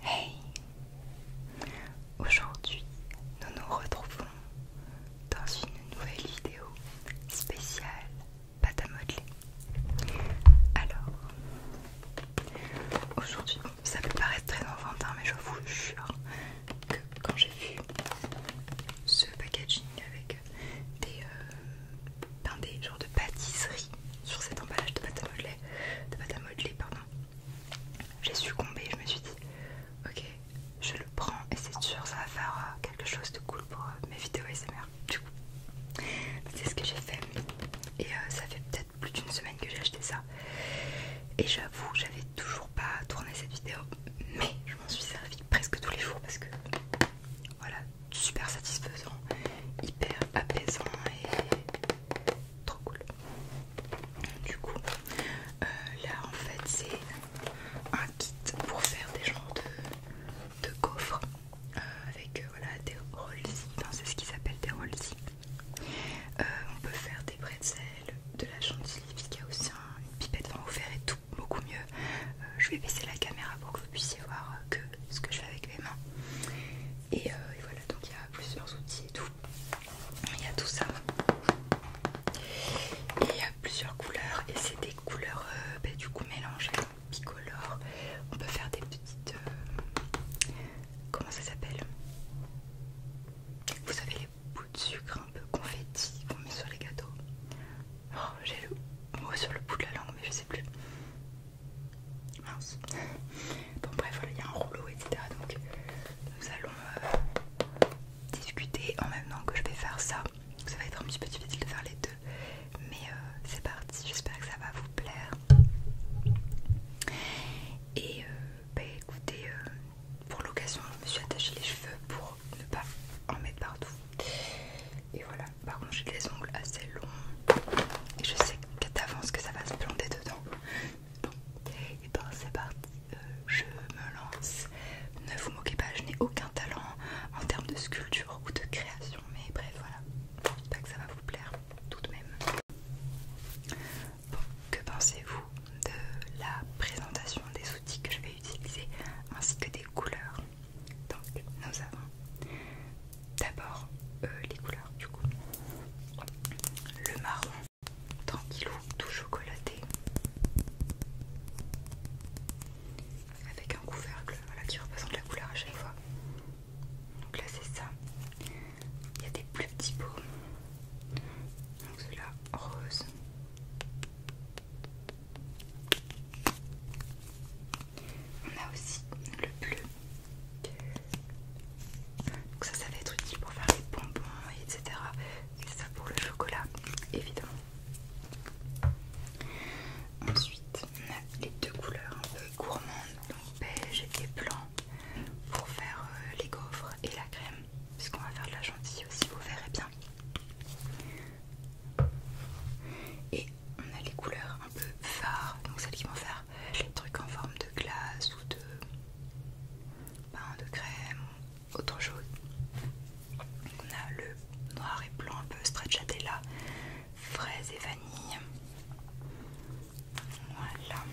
Hey Aujourd'hui, nous nous retrouvons dans une nouvelle vidéo spéciale pâte à modeler. Alors, aujourd'hui, ça peut paraître très enfantin, mais je vous jure, que quand j'ai vu ce packaging avec des euh, ben des genres de pâtisserie sur cet emballage de pâte à modeler, de pâte à modeler pardon, j'ai succombé. Je me suis dit, ok, je le prends et c'est sûr ça va faire euh, quelque chose de cool pour euh, mes vidéos S.M.R. Du coup, c'est ce que j'ai fait et ça fait peut-être plus d'une semaine que j'ai acheté ça. Et j'avoue, j'avais toujours pas tourner cette vidéo, mais je m'en suis servie presque tous les jours parce que voilà, super satisfaisant, hyper apaisant et trop cool. Du coup, euh, là en fait, c'est un kit pour faire des genres de, coffres euh, avec euh, voilà, des rolls, enfin, c'est ce qu'ils appellent des rolls. on peut faire des bretzels, de la chantilly puisqu'il y a aussi une pipette en ouvert et tout beaucoup mieux. Euh, je vais baisser la caméra pour que vous puissiez voir euh, que ce que je fais avec mes mains. Euh, et, voilà, donc il y a plusieurs outils et tout. Il y a tout ça. Et il y a plusieurs couleurs et c'est des couleurs bah, du coup mélangées, bicolores. On peut faire des petites... comment ça s'appelle Vous savez les peu de sucre un peu confetti qu'on met sur les gâteaux. Oh, j'ai le mot sur le bout de la langue, mais je sais plus. Mince. Bon, bref, voilà, il y a un rouleau, etc. Donc, nous allons euh, discuter en même temps que je vais faire ça. ça va être un petit peu difficile de faire les deux, mais euh, c'est parti. J'espère que ça va vous plaire. Et euh, bah écoutez, pour l'occasion je me suis attaché les cheveux pour ne pas en mettre partout et voilà par contre j'ai des ongles assez longs et je sais qu'à t'avance que ça va se planter dedans et ben c'est parti euh, je me lance ne vous moquez pas je n'ai aucun talent en termes de sculpture ou de création mais bref voilà j'espère que ça va vous plaire tout de même que pensez-vous de la présentation des outils que je vais utiliser ainsi que des couleurs Donc, nous avons d'abord euh, les couleurs du coup le marron tranquillou tout chocolaté avec un couvercle voilà, qui représente la couleur à chaque fois. Donc là c'est ça. Il y a des plus petits pots donc cela rose on a aussi le bleu donc ça ça va être utile pour faire les bonbons etc et ça pour le chocolat évidemment ensuite on a les deux couleurs un peu gourmandes donc beige et blanc pour faire euh, les gaufres et la crème puisqu'on va faire de la gentille aussi, vous verrez bien. Et on a les couleurs un peu phares, donc celles qui vont faire les trucs en forme de glace ou de pain de crème, autre chose. on a le noir et blanc un peu stracciatella, fraise et vanille. Voilà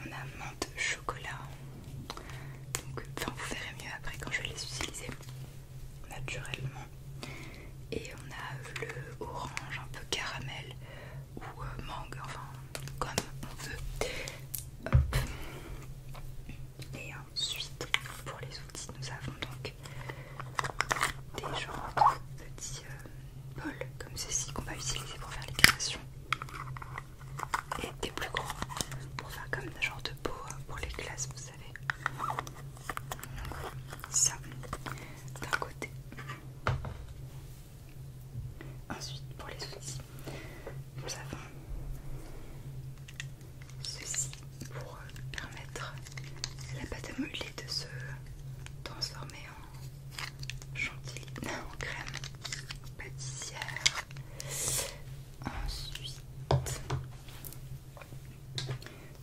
on a menthe chocolat. vous verrez mieux après quand je vais les utiliser naturellement. Et on a le orange un peu caramel ou euh, mangue, enfin comme on veut. Et ensuite, pour les outils, nous avons donc des genres de petits euh, bols comme ceci qu'on va utiliser pour faire les et des plus gros pour faire comme des genre de peau hein, pour les glaces, vous savez. Ça d'un côté. Ensuite, pour les outils, nous avons ceci pour euh, permettre à la pâte à modeler de se transformer en chantilly, en crème pâtissière. Ensuite,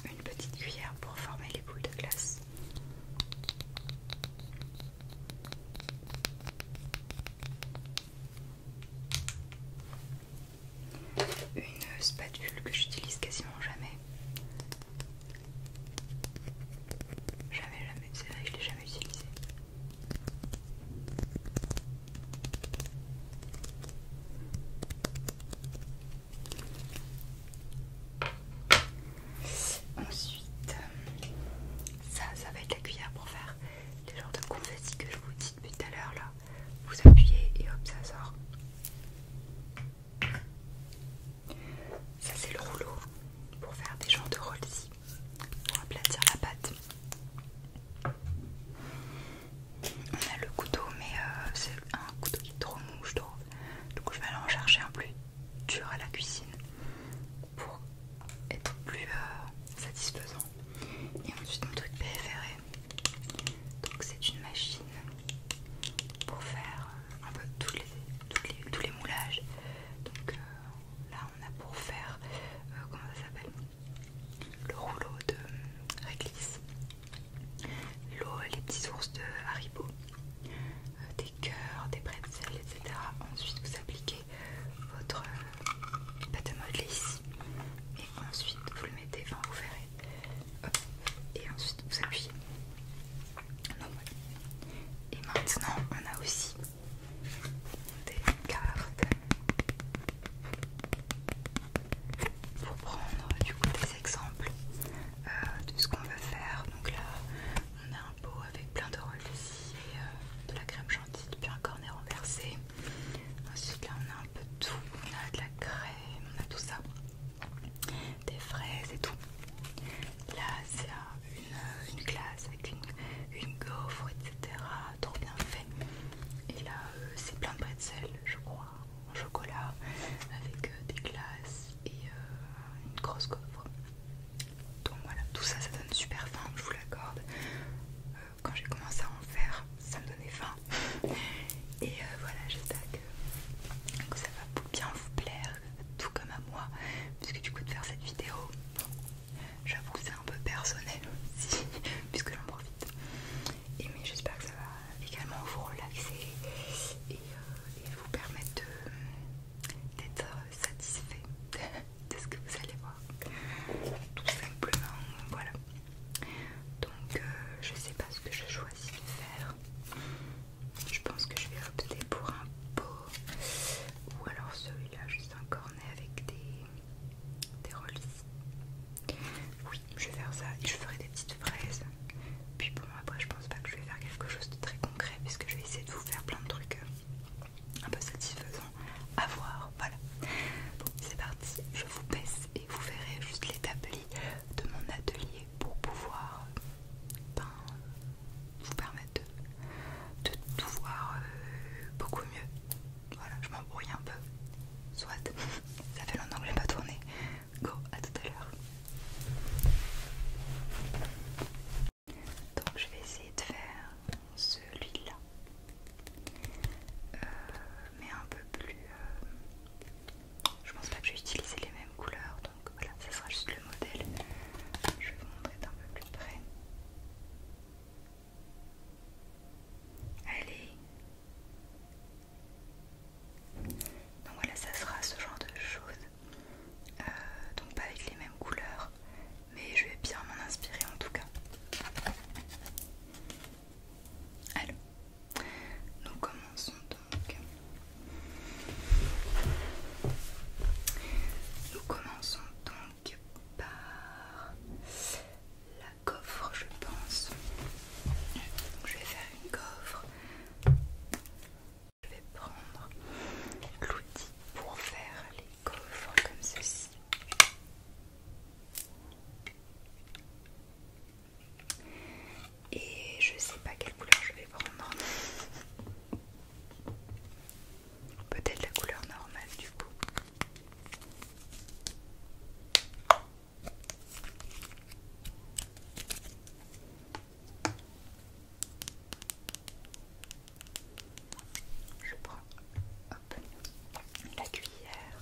une petite cuillère pour former les boules de glace. Une spatule que j'utilise quasiment jamais. Jamais, jamais, c'est vrai je je l'ai jamais utilisée. Ensuite, ça, ça va être la cuillère pour faire les genres de confettis que je vous dis depuis tout à l'heure là. Vous appuyez et hop, ça sort. Ça c'est le rouleau pour faire des genres de rollis pour aplatir la pâte. On a le couteau, mais euh, c'est un couteau qui est trop mou, je trouve. Donc je vais aller en chercher un plus dur à la cuisine pour être plus euh, satisfaisant. Et ensuite mon truc préféré, donc c'est une machine pour faire euh, un peu tous les, les, moulages. Donc Là, on a pour faire, euh, Le rouleau de réglisse, les petits ours de Haribo, euh, des cœurs, des bretzels, etc. Ensuite, vous appliquez votre euh, pâte modelée ici. Et ensuite, vous le mettez, enfin vous verrez. Et ensuite, vous appuyez. Et maintenant, on a aussi des cartes pour prendre du coup des exemples euh, de ce qu'on veut faire. Donc là, on a un pot avec plein de ici et euh, de la crème gentille, depuis un cornet renversé. Ensuite, là, on a un peu tout. On a de la crème, on a tout ça, des fraises et tout. Là, c'est une, glace avec une, gaufre, etc. Trop bien fait. Et là, euh, c'est plein de sel je crois, en chocolat, avec euh, des glaces et euh, une grosse gaufre. Donc voilà, tout ça, ça donne super faim, je vous l'accorde. quand j'ai commencé à en faire, ça me donnait faim. Et voilà, j'espère que ça va bien vous plaire, tout comme à moi, puisque du coup de faire cette vidéo, J'avoue que c'est un peu personnel aussi, puisque j'en profite. Et mais j'espère que ça va également vous relaxer et, euh, vous permettre d'être satisfait de ce que vous allez voir. Tout simplement, voilà. Donc, euh, je sais pas ce que je choisis de faire. Je pense que je vais opter pour un pot ou alors celui-là, juste encore avec des, relis Oui, je vais faire ça je ferai des petites fraises. Puis bon, après, je pense pas que je vais faire quelque chose de très concret puisque je vais essayer de vous faire plein de trucs euh, un peu satisfaisants à voir. Voilà. Bon, c'est parti. Je vous baisse et vous verrez juste l'établi de mon atelier pour pouvoir euh, peindre vous permettre de, tout voir euh, beaucoup mieux. Voilà, je m'embrouille un peu. Soit, ça fait longtemps que pas tourné. Go, à tout à l'heure. Donc, je vais essayer de faire celui-là, euh, mais un peu plus. Euh, je pense pas que j'ai utilisé les mêmes couleurs, donc voilà, ce sera juste le modèle. Je vais vous montrer d'un peu plus près. Allez. Donc voilà, ça sera ce genre de choses. Euh, donc pas avec les mêmes couleurs, mais je vais bien m'en inspirer en tout cas. Alors, nous commençons donc. Nous commençons donc par la coffre je pense donc je vais faire une coffre je vais prendre l'outil pour faire les coffres comme ceci et je sais pas quelle couleur je vais prendre Peut-être la couleur normale du coup. Je prends la cuillère.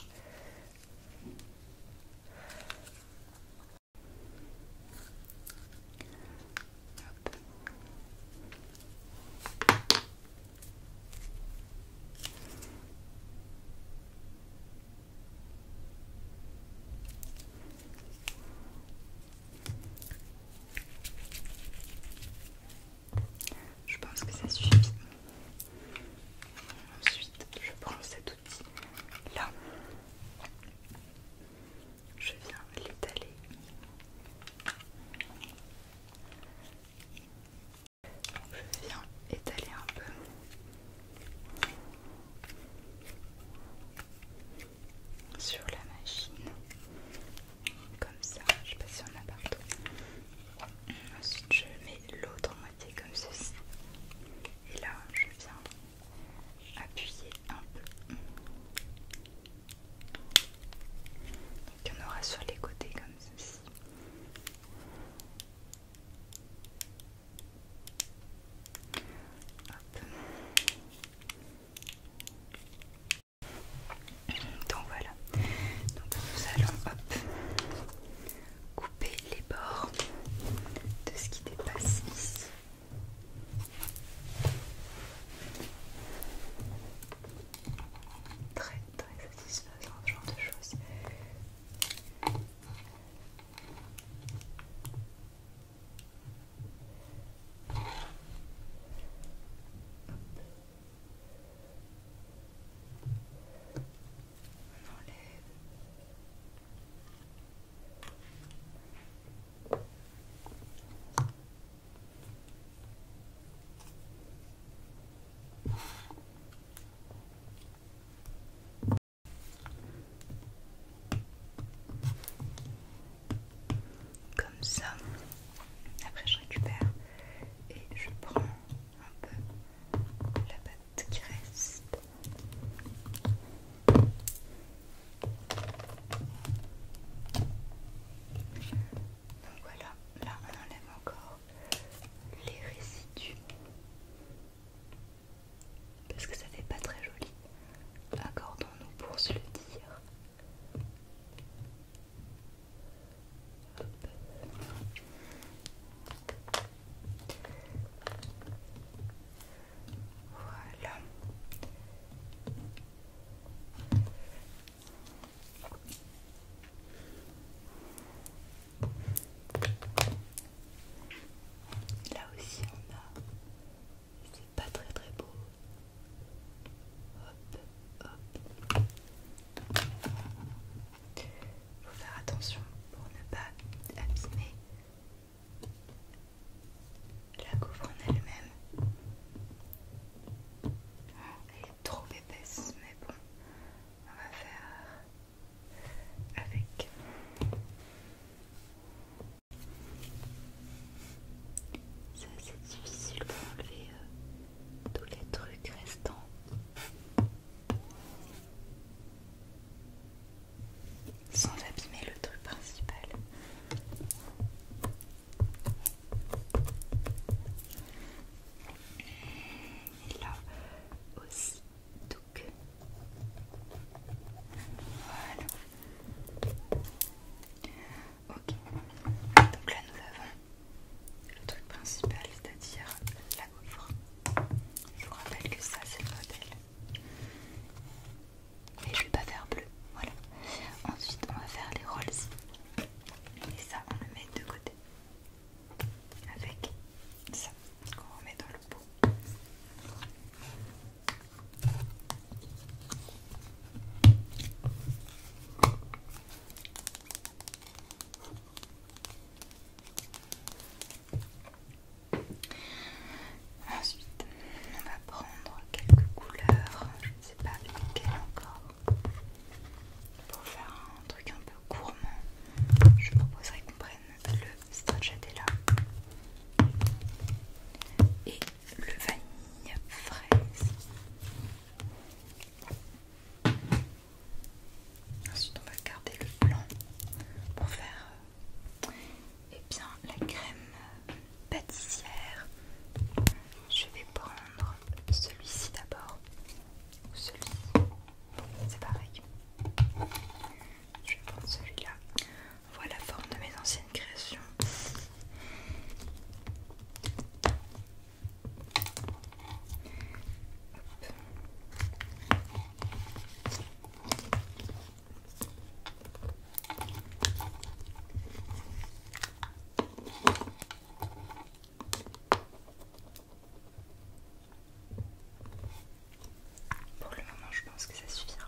Je pense que ça suffit. Ensuite, je prends cet outil là je viens l'étaler. Je viens étaler un peu. Sur la machine, comme ça, je sais pas si on a partout. Ensuite, je mets l'autre moitié comme ceci, et là, je viens appuyer un peu. Il y en aura sur les côtés comme ceci. Donc voilà. nous allons couper les bords de ce qui dépasse ici très très satisfaisant ce genre de choses. enlève. Comme ça, après je récupère et je prends un peu la pâte qui reste. Donc voilà, là on enlève encore les résidus parce que ça fait pas très joli. Accordons-nous pour se le dire. Voilà. Là aussi on a, c'est pas très très beau. Hop, Faut faire attention pour ne pas abîmer la gaufre en elle-même. Oh, elle est trop épaisse, mais bon, on va faire avec. Ça c'est difficile pour enlever euh, tous les trucs restants. Sans abîmer le truc principal. Et là aussi, donc voilà. Ok, donc là nous avons le truc principal, c'est-à-dire la gaufre. Je vous rappelle que ça c'est le modèle. Mais je vais pas faire bleu, voilà. Ensuite, on va faire les rolls. Et ça, on le met de côté. Avec ça qu'on remet dans le pot. Ensuite, on va prendre quelques couleurs c'est pas nickel encore. Pour faire un truc un peu gourmand, je proposerais qu'on prenne le stracciatella et le vanille fraise. Ensuite, on va garder le blanc pour faire et euh, eh bien, la crème pâtissière. Je vais prendre celui-ci d'abord. Celui-ci. C'est pareil. Je vais prendre celui-là. Voilà la forme de mes anciennes créations. Pour le moment, je pense que ça suffira.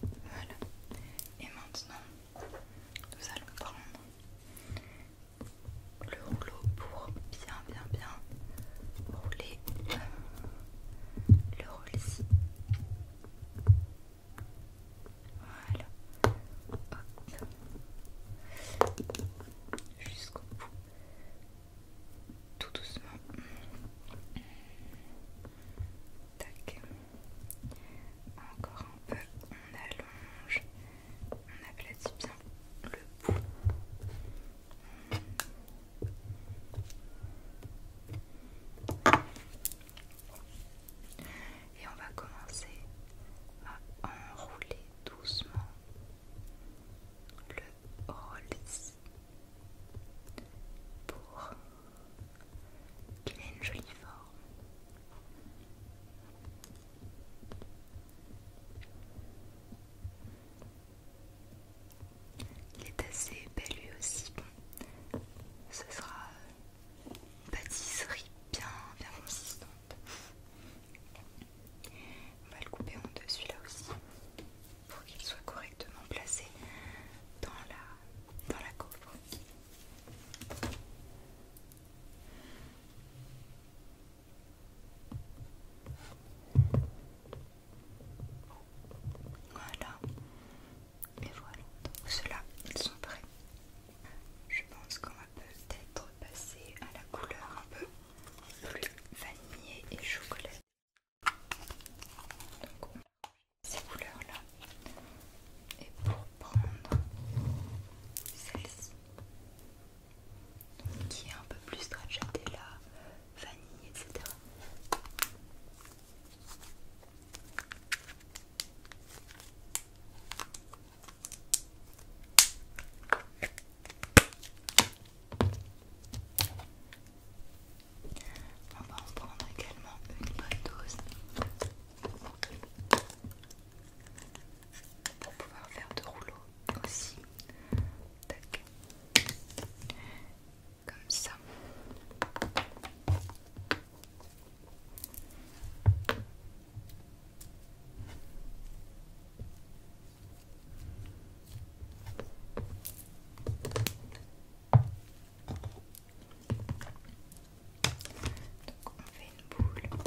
Voilà. Et maintenant, nous allons prendre le rouleau pour bien, bien, bien rouler le rôle ici. Voilà. Hop. Jusqu'au bout. Tout doucement. Encore un peu, on allonge, on aplatit bien le bout. Et on va commencer à enrouler doucement le rollis pour qu'il a une jolie forme. Il est assez épais lui aussi. Bon, ce sera une pâtisserie bien, bien consistante. On va le couper en deux celui-là aussi pour qu'il soit correctement placé dans la, dans la Voilà, Mais voilà, donc ceux-là, ils sont prêts. Je pense qu'on va peut-être passer à la couleur un peu plus vanillée et chocolat. Donc on ces couleurs là. Et pour prendre celle-ci, qui est un peu plus la vanille, etc. On va en prendre également une bonne dose pour pouvoir faire de rouleaux aussi. Comme ça. Donc on fait une boule et on va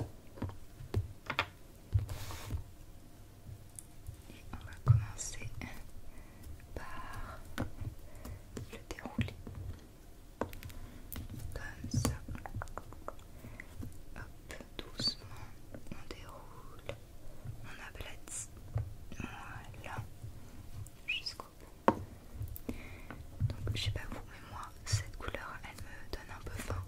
commencer par le dérouler comme ça. Hop, doucement, on déroule, on a voilà, donc je sais pas vous, mais moi cette couleur elle me donne un peu faim.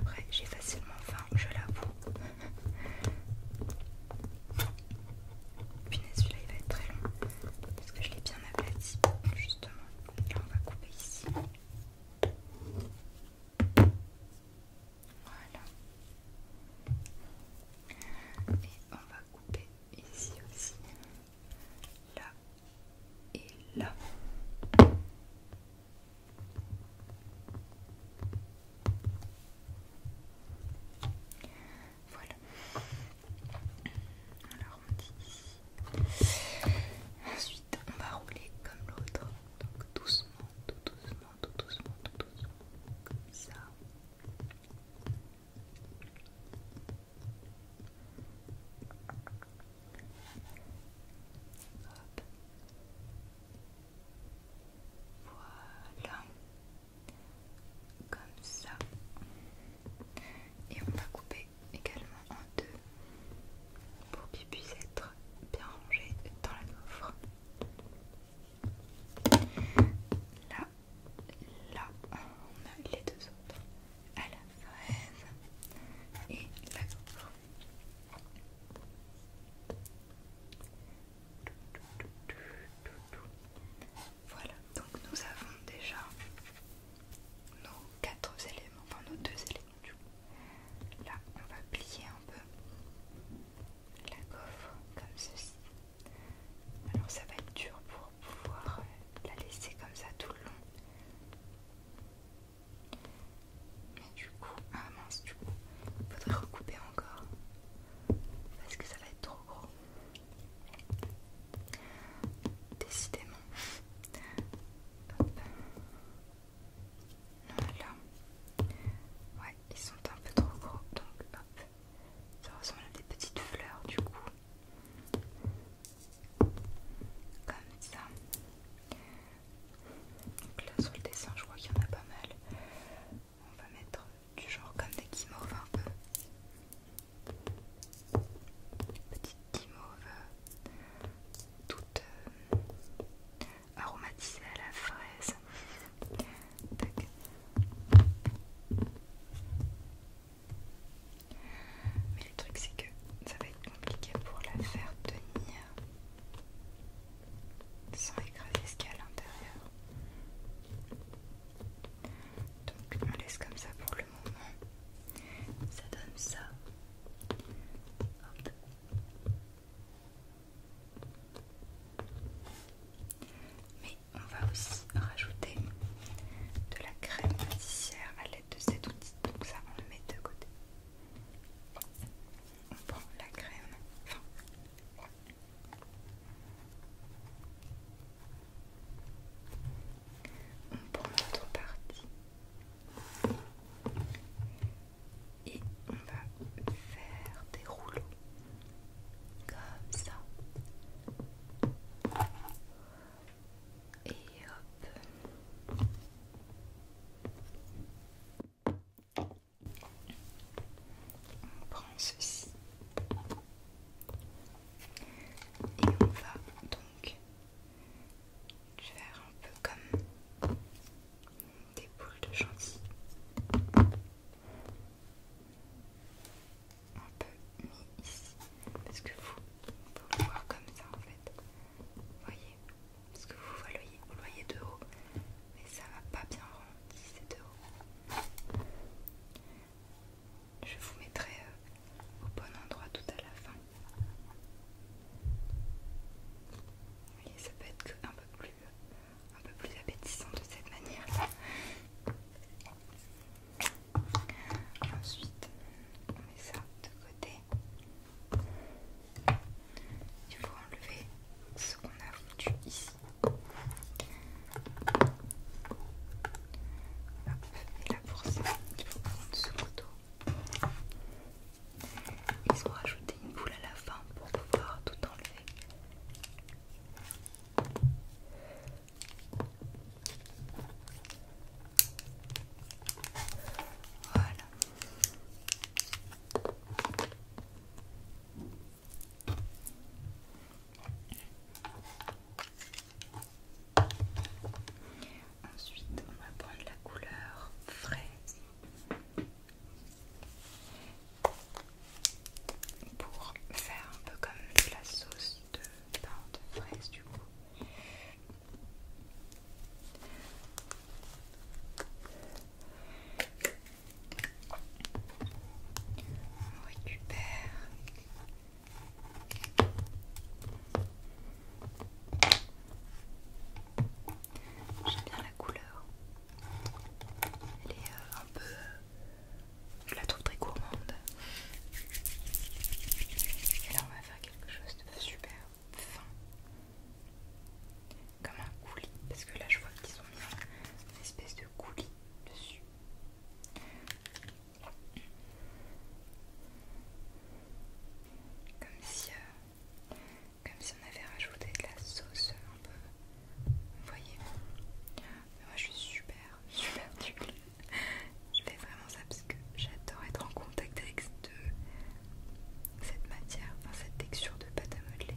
Après j'ai facilement faim, je l'avoue. Punaise, celui-là il va être très long parce que je l'ai bien aplati justement. Et on va couper ici. Voilà. Et on va couper ici aussi, là et là. Voilà. Alors on dit ici. Ensuite on va rouler comme l'autre. Donc doucement, tout doucement, tout doucement, tout doucement. Comme ça. Voilà. Comme ça. Et on va couper également en deux pour qu'ils puissent être bien rangé dans la coffre. Là, là, on a les deux autres à la fraise et la gaufre. Voilà, donc nous avons déjà nos quatre éléments, enfin nos deux éléments Là, on va plier un peu la gaufre comme ceci. Alors ça va être dur pour pouvoir euh, la laisser comme ça tout le long. Mais du coup, ah mince du coup, il faudrait recouper encore. Parce que ça va être trop gros. Décidément. Hop. là, Ouais, ils sont un peu trop gros. Donc hop. Ça ressemble à des petites fleurs du coup. Comme ça. Donc là sur le dessin je crois qu'il y en a pas mal. On va mettre du genre comme des guimauves un peu. Petite guimauve euh, toute euh, aromatisées à la fraise. Mais le truc c'est que ça va être compliqué pour la faire tenir sans écraser ce qu'il y a à l'intérieur. Donc on laisse comme ça pour le moment. Ça donne ça. Hop. Mais on va aussi rajouter de la crème pâtissière à l'aide de cet outil. Donc ça, on le met de côté. On prend la crème. on prend notre partie et on va faire des rouleaux comme ça. Et hop. On prend ceci. Et on va donc faire un peu comme des boules de chantilly un peu mis ici parce que vous, pouvez le voir comme ça en fait voyez parce que vous voyez de haut mais ça va pas bien rendu c'est de haut je vous mettrai euh, au bon endroit tout à la fin voyez ça peut être un peu plus euh, un peu plus appétissant de cette manière. là Ensuite, on met ça de côté. Il faut enlever ce qu'on a foutu ici. et là pour ça, il faut prendre ce couteau. Ils ont rajouté une boule à la fin pour pouvoir tout enlever. Ensuite, on va prendre la couleur fraise pour faire un peu comme la sauce de pain de fraise du coup. On récupère J'aime bien la couleur. Elle est euh, un peu... Euh, je la trouve très gourmande. Et là on va faire quelque chose de super fin. Comme un coulis. Parce que là je vois qu'ils ont mis une espèce de coulis dessus. Comme si, euh, comme si on avait rajouté de la sauce un peu vous voyez Moi je suis super, super nulle. je fais vraiment ça parce que j'adore être en contact avec euh, cette, matière, enfin cette texture de pâte à modeler.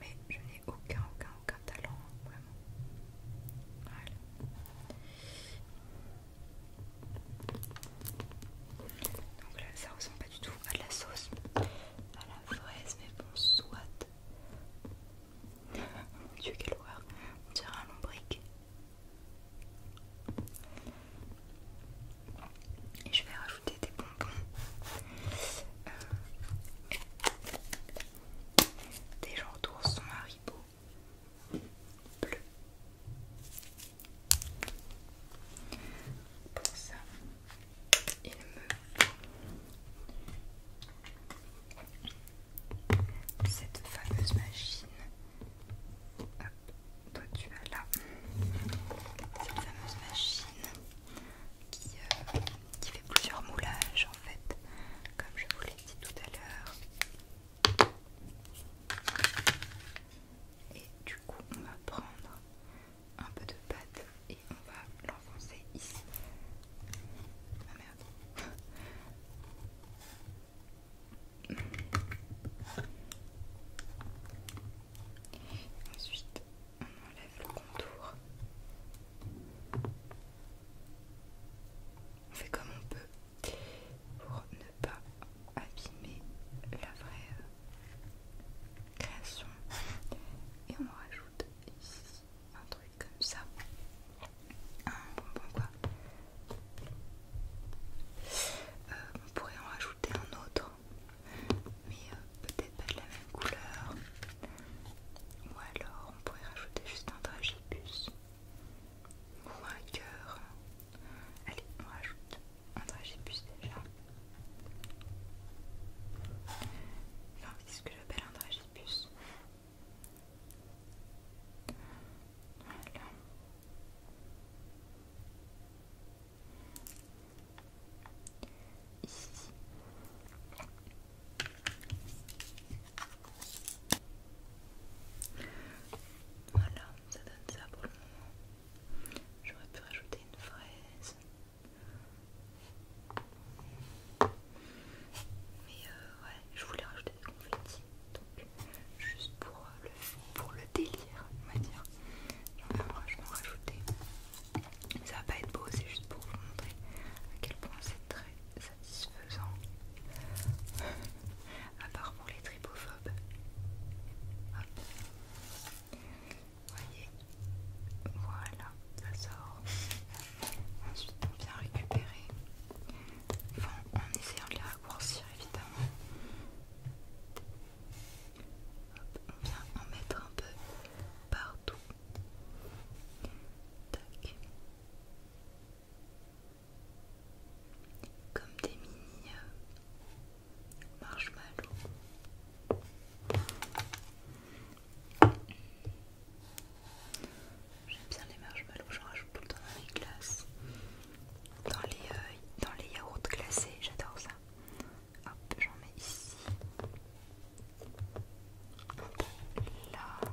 Mais je n'ai aucun, aucun, aucun talent, hein, vraiment. Voilà. Donc là, ça ressemble pas du tout à de la sauce à la fraise, mais bon, soit. Mon dieu, quelle horreur! On dirait un lombric. Et je vais rajouter des bonbons. Euh, des des genres sont haribo bleu. Pour ça, il me cette fameuse machine. toi tu as là cette fameuse machine qui, euh, qui fait plusieurs moulages en fait, comme je vous l'ai dit tout à l'heure. Et du coup, on va prendre un peu de pâte et on va l'enfoncer ici. Ah merde. Ensuite, on enlève le contour. On fait comme on peut pour ne pas abîmer la vraie création. Et on rajoute ici un truc comme ça, un bonbon quoi. Euh, on pourrait en rajouter un autre, mais euh, peut-être pas de la même couleur. Ou alors on pourrait rajouter juste un dragibus ou un cœur. Allez, on rajoute un dragibus déjà c'est ce que j'appelle un dragibus. Voilà. Ici. Voilà, ça donne ça pour le moment. J'aurais pu rajouter une fraise. Mais euh, ouais, je voulais rajouter des confettis, donc juste pour euh, le, pour le délire, on va dire. J'en vais en rajouter. ça va pas être beau, c'est juste pour vous montrer à quel point c'est très satisfaisant. à part pour les tripophobes. Hop voyez, voilà, ça sort. Ensuite, on vient récupérer, en essayant de les raccourcir évidemment. on vient en mettre un peu partout. Tac. Comme des mini euh, marshmallows. J'aime bien les marshmallows, j'en rajoute tout le temps dans les glaces, dans les, euh, dans les yaourts glacés, j'adore ça. Hop, j'en mets ici. là.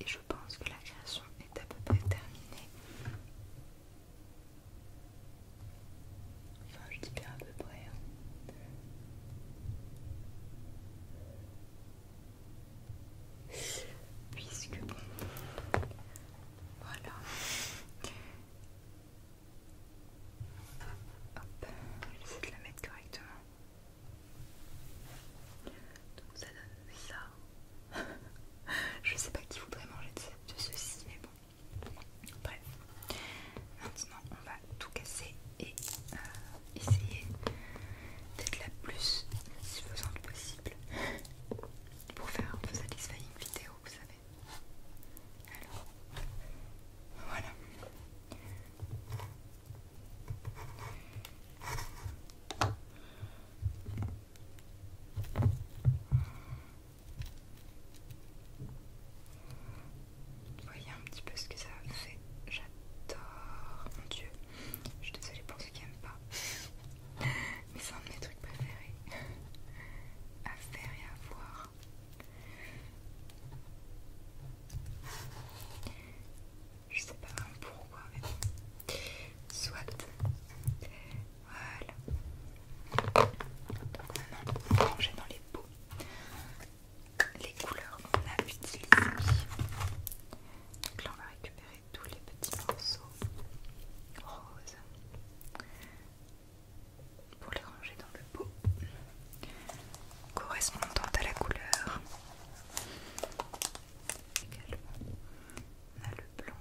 Et je pense que la création est à peu près terminée. Enfin, je dis bien à peu près. Hein. Puisque bon, voilà. Hop, Je essayer de la mettre correctement. Donc ça donne ça. je sais pas qui voudrait manger de ceci, mais bon. Bref, maintenant on va tout casser et euh, essayer d'être la plus suffisante possible pour faire vous satisfaire une vidéo, vous savez. Alors, Voilà. Voyez un petit peu ce que ça fait. J'adore. Mon dieu. Je suis désolée pour ceux qui n'aiment pas. Mais c'est un de mes trucs préférés à faire et à voir. Je sais pas vraiment pourquoi, mais Soit. Voilà. maintenant, on va dans les pots les couleurs qu'on a utilisées. Donc là, on va récupérer tous les petits morceaux roses pour les ranger dans le pot correspondant à la couleur. Également, on a le blanc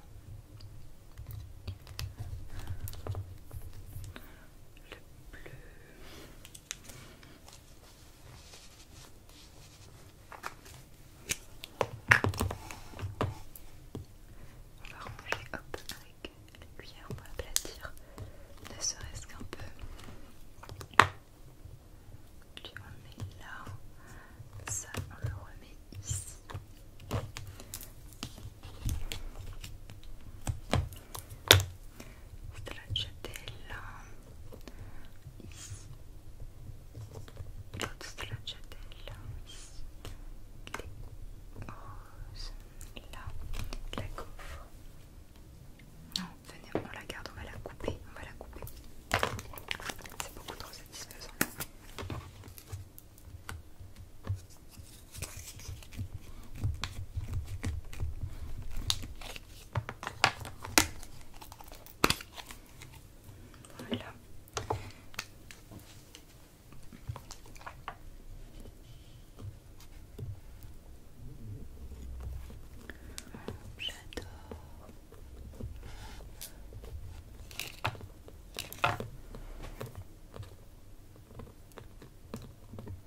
le bleu. On va ranger hop avec les cuillères pour aplatir, ne serait-ce qu'un peu. Lui on met là, ça on le remet ici. C'est de la chatelle. Ici. L'autre, c'est de la chatelle. Ici. Les roses. Là. De la gaufre. Non, venez, on la garde, on va la couper. On va la couper. C'est beaucoup trop satisfaisant. Voilà. J'adore.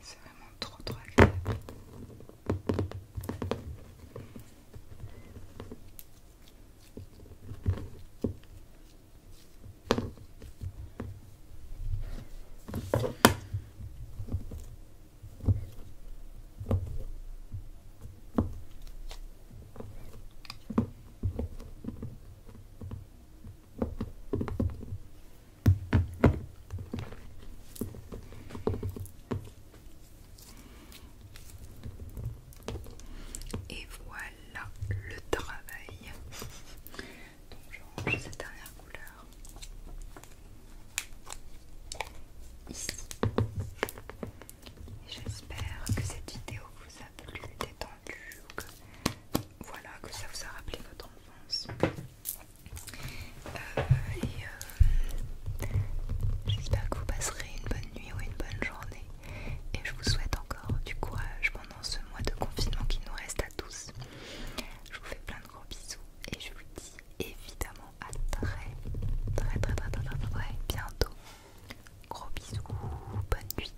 C'est vraiment trop trop agréable. Et voilà le travail. Donc je range cette dernière couleur ici. J'espère que cette vidéo vous a plu, détendu voilà, que ça vous a rappelé votre enfance. Euh, euh, j'espère que vous passerez une bonne nuit ou une bonne journée. Et je vous souhaite encore du courage pendant ce mois de confinement qui nous reste à tous. Je vous fais plein de gros bisous et je vous dis évidemment à très très très, très, très, très bientôt. Gros bisous, bonne nuit.